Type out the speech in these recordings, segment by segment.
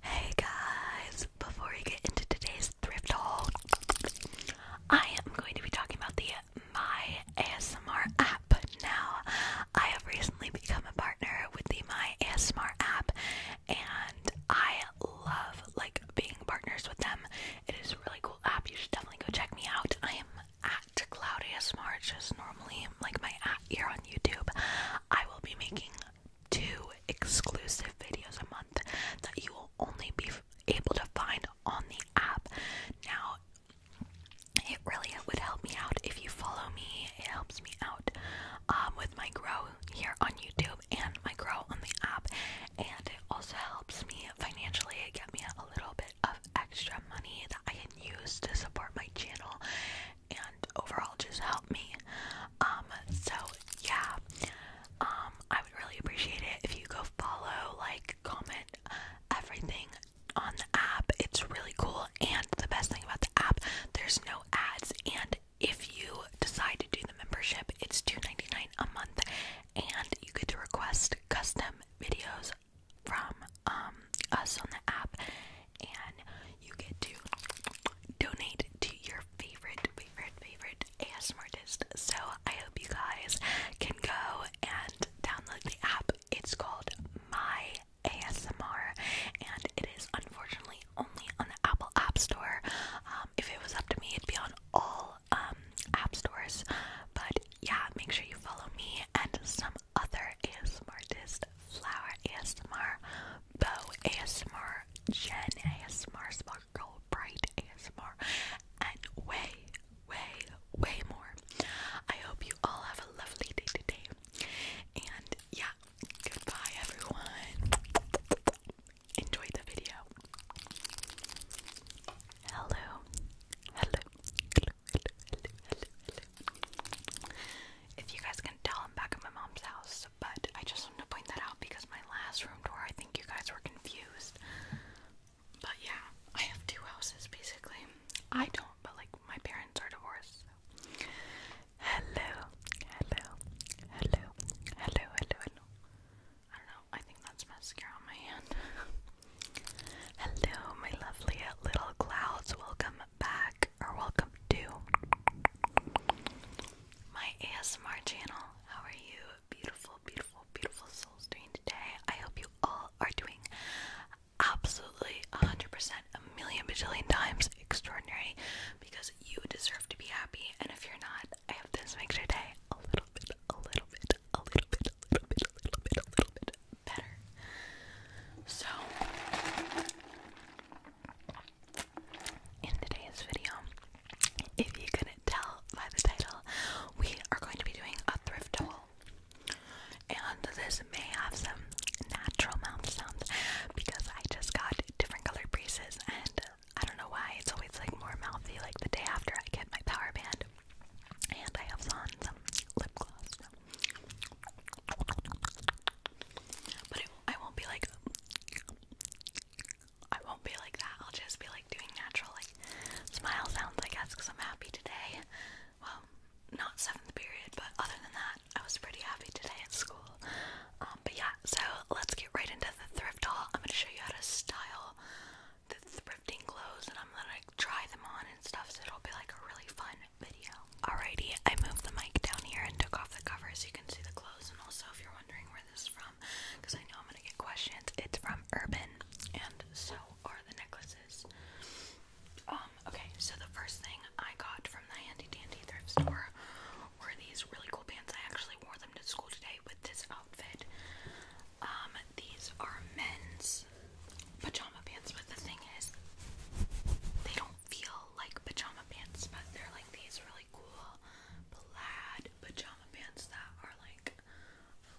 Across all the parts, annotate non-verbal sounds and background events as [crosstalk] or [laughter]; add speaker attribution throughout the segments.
Speaker 1: Hey guys, before we get into today's thrift haul, I am going to be talking about the My ASMR app. Now, I have recently become a partner with the My ASMR app, and I love like being partners with them. It is a really cool app. You should definitely go check me out. I am at Cloud ASMR, just normally like my at here on YouTube. I will be making two exclusive videos a month that you will only be able to find on the app. Now, it really would help me out if you follow me. It helps me out um, with my grow here on YouTube and my grow on the app, and it also helps me financially. It get me a little bit of extra money that I can use to support my channel and overall just help me. Um, so yeah, um, I would really appreciate it if you go follow, like, comment everything on the app. It's really cool, and the best thing about the app, there's no ads. And if you decide to do the membership, it's 2 a month, and you get to request custom videos from um, us on the app and you get to donate to your favorite, favorite, favorite ASMR artist. So I hope you guys can go and download the app. It's called My ASMR, and it is unfortunately only on the Apple App Store. Um, if it was up to me, it'd be on all um, app stores. But yeah, make sure you follow me and some other ASMR artists Flower ASMR, Bow ASMR, Jen ASMR, Sparkle Bright ASMR, and way, way, way more. I hope you all have a lovely day today. And yeah, goodbye everyone. Enjoy the video. Hello. Hello. Hello. Hello. Hello. Hello. If you guys can tell, I'm back at my mom's house but I just want to point that out because my last room tour, I think you guys were confused. But yeah, I have two houses basically. I don't, but like my parents are divorced. So. Hello, hello, hello, hello, hello, hello. I don't know, I think that's mascara on my hand. [laughs] hello, my lovely little clouds. Welcome back or welcome to my ASMR channel. How are you, beautiful, beautiful, beautiful souls doing today? I hope you all are doing absolutely 100% a million bajillion times extraordinary because you deserve to be happy. And if you're not, I hope this makes your day a little bit, a little bit, a little bit, a little bit, a little bit, a little bit better. So, in today's video, if you couldn't tell by the title, we are going to be doing a thrift haul. And this may have some natural mouth sounds because I just got different colored braces and I don't know why it's always like more mouthy like the day after I get my power band. And I have on some lip gloss. I won't be like I won't be like that. I'll just be like doing natural like smile sounds I guess because I'm happy today. Well, not seventh period, but other than that, I was pretty happy today at school. Um, but yeah, so let's get right into the thrift haul. I'm gonna show you how to style the thrifting clothes and I'm gonna try them on and stuff so it'll be like a really fun video. Alrighty, I moved the mic down here and took off the cover so you can see the clothes. And also, if you're wondering where this is from, because I know I'm gonna get questions, it's from Urban, and so are the necklaces. Um, okay, so the first thing I got from the Handy Dandy thrift store were these really cool pants. I actually wore them to school today with this outfit. Um, these are men's pajama pants, but the thing is, they don't feel like pajama pants, but they're like these really cool plaid pajama pants that are like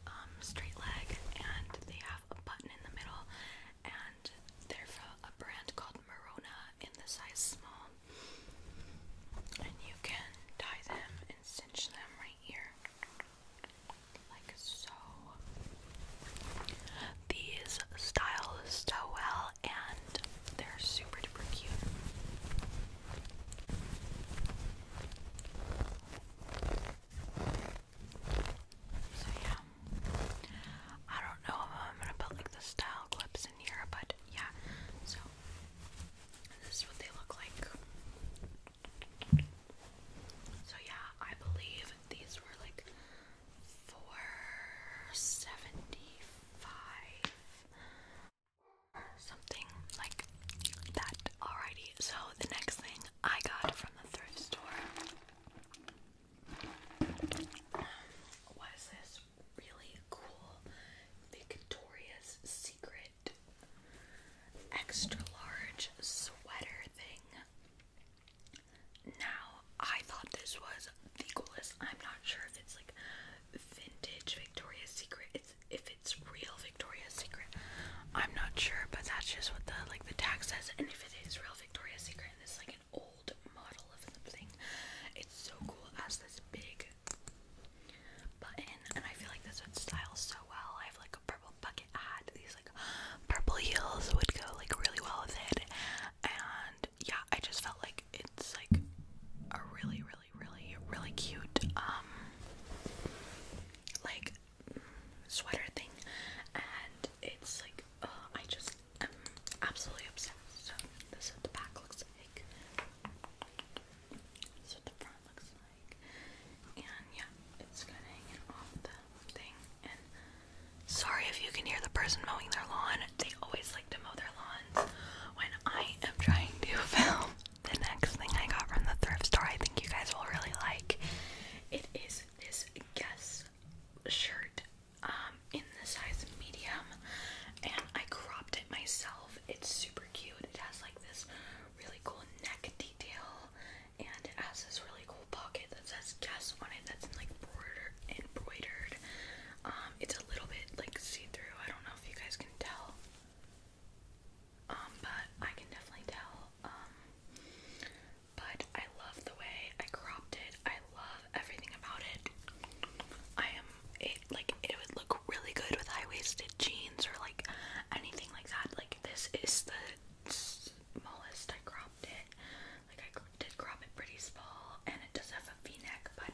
Speaker 1: um, straight leg and they have a button in the middle and they're from a brand called Marona in the size small and you can tie them and cinch them right here like so these styles so well and they're super duper cute. So yeah, I don't know if I'm gonna put like the style clips in here, but yeah. So this is what they look like. So yeah, I believe these were like four seventy five something like that. Alrighty, so the next thing I got from the thrift store was this really cool Victoria's Secret extra large sweater thing. Now, I thought this was the coolest. I'm not sure if it's like vintage Victoria's Secret. if it's real Victoria's Secret. I'm not sure, but that's just what the like the tag says. And if it is real Victoria's Secret, and is like an old model of something, it's so cool. It has this big button, and I feel like this would style so well. I have like a purple bucket hat. These like purple heels would go like really well with it, and and yeah, I just felt like it's like a really, really, really, really cute um like sweater thing, and it's like uh, I just am absolutely obsessed. So this is what the back looks like. This is what the front looks like, and yeah, it's kind of hanging off the thing. And sorry if you can hear the person mowing their lawn they always like to mow their lawns when I am trying to [laughs] film. The next thing I got from the thrift store, I think you guys will really like. It is this Guess shirt um, in the size medium, and I cropped it myself. It's super cute. It has like this really cool neck detail, and it has this really cool pocket that says Guess on it that's in, like border embroidered um, it's a little bit like see-through. I don't know if you guys can tell. Um, but I can definitely tell. Um, but I love the way I cropped it. I love everything about it. I am it like it would look really good with high-waisted jeans or like anything like that. Like this is the smallest I cropped it. Like I did crop it pretty small it does have a v-neck, but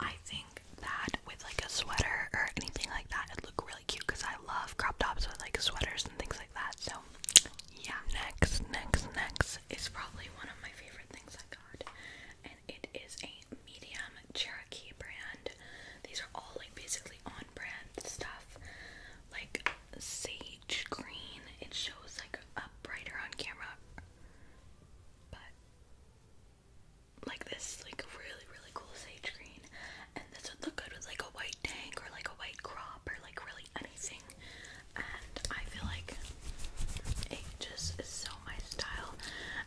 Speaker 1: I think that with like a sweater or anything like that, it'd look really cute because I love crop tops with like sweaters and things like that. So yeah, next, next, next is probably one of my favorite things I got, and it is a medium Cherokee brand. These are all like basically on brand stuff, like sage green. It shows like a brighter on camera, but like this like really really cool sage green and this would look good with like a white tank or like a white crop or like really anything and I feel like it just is so my style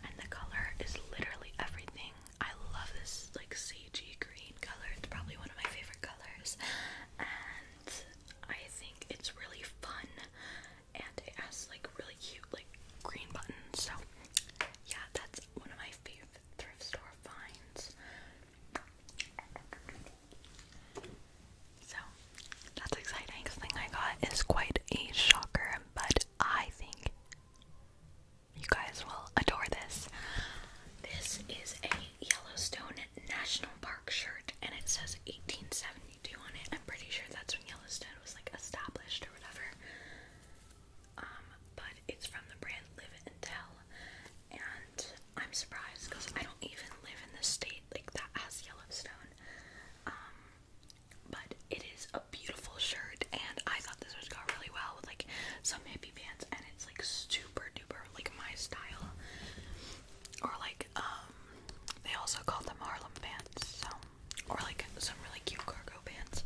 Speaker 1: and the color is literally everything. I love this like sagey green color. It's probably one of my favorite colors and I think it's really fun and it has like really cute like green buttons. So yeah, that's one of my favorite thrift store finds. So that's exciting. The thing I got is quite a shocker, but I think you guys will adore this. This is a Yellowstone National Park shirt and it says 1870 I'm pretty sure that's when Yellowstone was like established or whatever. Um, but it's from the brand Live and Tell, and I'm surprised because I don't even live in the state like that has Yellowstone. Um, but it is a beautiful shirt, and I thought this would go really well with like some hippie pants, and it's like super duper like my style. Or like um, they also call them Harlem pants, so or like some really cute cargo pants.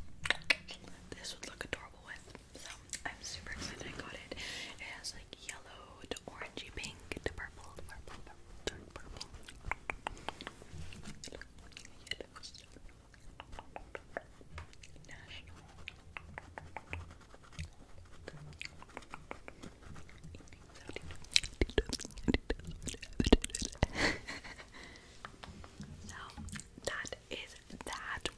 Speaker 1: This would look adorable with. So I'm super excited I got it. It has like yellow to orangey pink to purple, purple, purple, dark purple. [laughs] so that is that.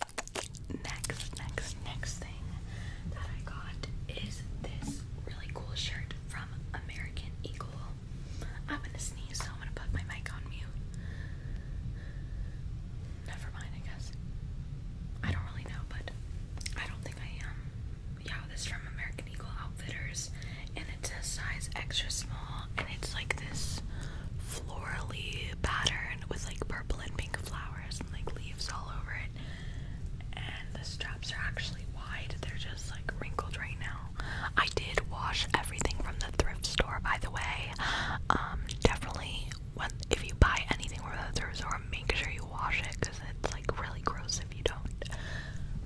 Speaker 1: Next, next, next thing that I got is this really cool shirt from American Eagle. I'm gonna sneeze, so I'm gonna put my mic on mute. Never mind, I guess. I don't really know, but I don't think I am. Yeah, this from American Outfitters, and it's a size extra small, and it's like this florally pattern with like purple and pink flowers and like leaves all over it. And the straps are actually wide; they're just like wrinkled right now. I did wash everything from the thrift store, by the way. Um, definitely, if you buy anything from the thrift store, make sure you wash it because it's like really gross if you don't.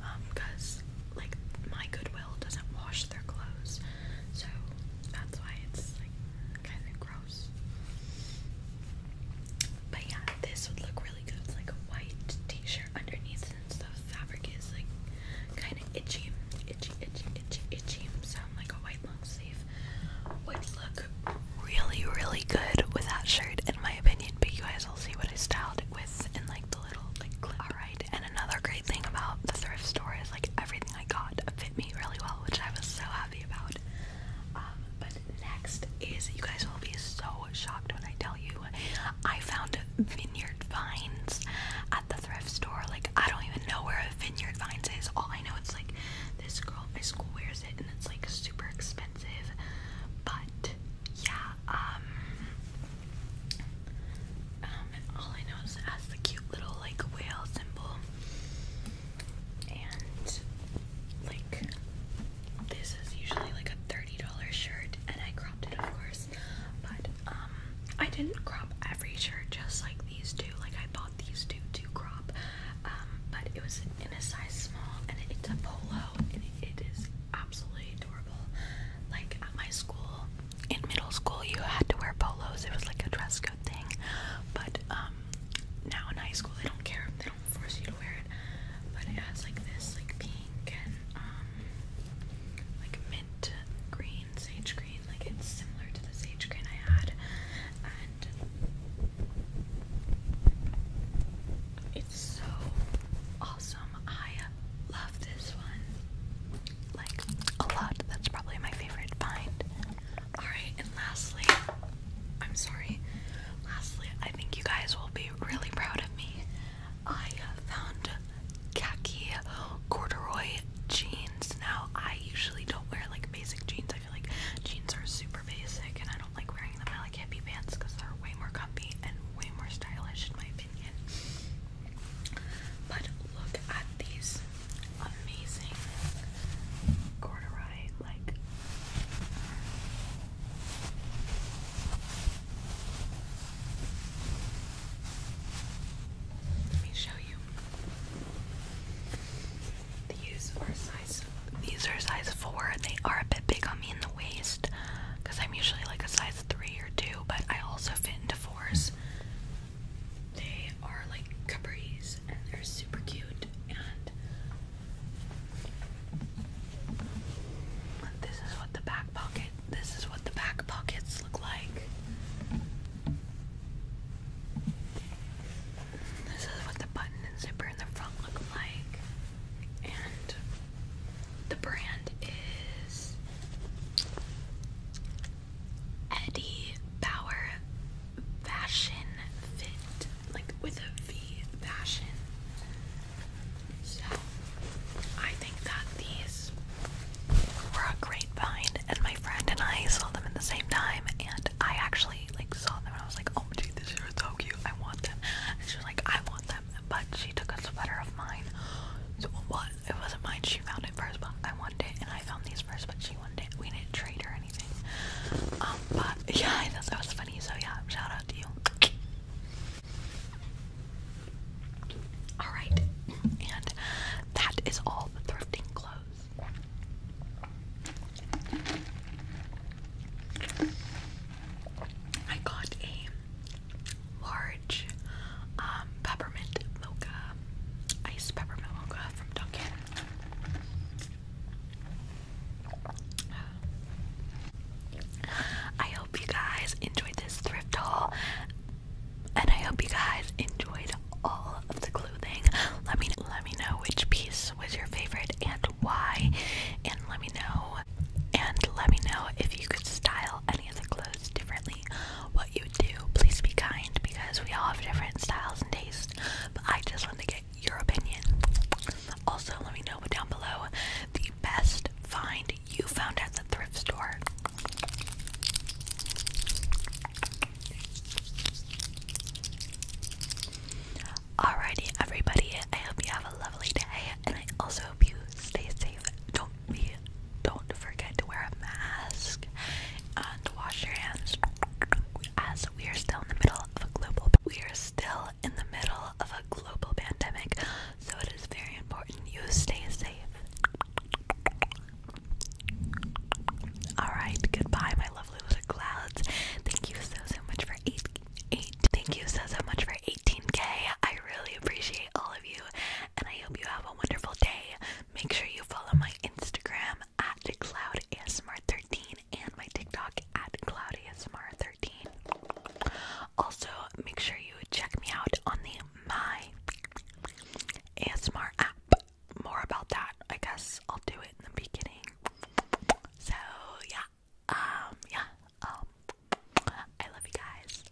Speaker 1: Um, cause like my Goodwill Goodwill doesn't wash their clothes, so that's why it's like kind of gross. But yeah, this would look really good. It's like a white t-shirt underneath since the fabric is like kind of itchy, itchy, itchy, itchy, itchy. So like a white long sleeve would look really, really good with that shirt in my opinion. But you guys will see what I styled it with in like the little like clip. Alright. And another great thing about the thrift store is like everything I got fit me really well, which I was so happy about. Um, but next is you guys will be so shocked when I tell you I found vineyard vines at the thrift store. Like I don't even know where vineyard vines is. All I know it's like this girl at my school wears it and it's like super expensive. But yeah, um, um, all I know is it has the cute little like whale symbol, and like this is usually like a thirty dollar shirt, and I cropped it of course, but um, I didn't crop every shirt, just like these two. Like I bought these two to crop, um, but it was in a size small, and it's a polo, and it is absolutely adorable like at my school in middle school you had to wear polos it was like a dress code thing but um now in high school they don't care they don't force you to wear it but it has like this like pink and um like mint green sage green like it's similar to the sage green I had and it's so awesome I love this one like a lot. That's probably my favorite find. Alright, and lastly, I'm sorry. Lastly, I think you guys will be really proud of me. I found khaki corduroy jeans. Now, I usually don't wear like basic jeans. I feel like jeans are super basic and I don't like wearing them. I like hippie pants because they're way more comfy and way more stylish, in my opinion. But look at these amazing corduroy like let me show you. These are size these are size four. They are a bit big on me in the waist because I'm usually like a size three or two, but I also fit into fours. They are like capris and they're super cute. And this is what the back pocket. This is what the back pockets look like. This is what the button and zipper in the front look like. And the brand is Eddie Bauer Fashion Fit, like with a V fashion. So I think that these were a great find, and my friend and I saw them at the same time, and I actually like saw them and I was like, oh my god, these are so cute, I want them. And she was like, I want them but she took a sweater of mine. So well, it wasn't mine. She found it first, but I wanted it, and I found these first, but she wanted it. We didn't trade or anything. Um, but [laughs] yeah, that was funny. So yeah, shout out to you. Alright, and that is all the thrifting clothes. I got a large um, peppermint mocha, iced peppermint mocha from Dunkin'. I hope you guys enjoyed this thrift haul, and I hope you guys enjoyed all of the clothing. Let me let me know which piece was your favorite and why, and let me know, and let me know if you could style any of the clothes differently, what you do, please be kind because we all have different styles and tastes. But I just want to get your opinion. Also, let me know down below the best find you found at the thrift store. Alrighty, everybody, I hope you have a lovely day, and I also hope you stay safe. Don't we don't forget to wear a mask and wash your hands as we are still in the middle of a global we are still in the middle of a global pandemic so it is very important you stay safe all right goodbye my lovely little clouds thank you so so much for 8 Eight. Thank you so so much for 18k. I really appreciate all of you and I hope you have a wonderful day. Make sure you follow my Instagram at cloudasmr13 and my TikTok at cloudasmr13. Also, make sure you check me out on the My ASMR app. More about that, I guess I'll do it in the beginning. So, yeah. Um, yeah. Um, I love you guys.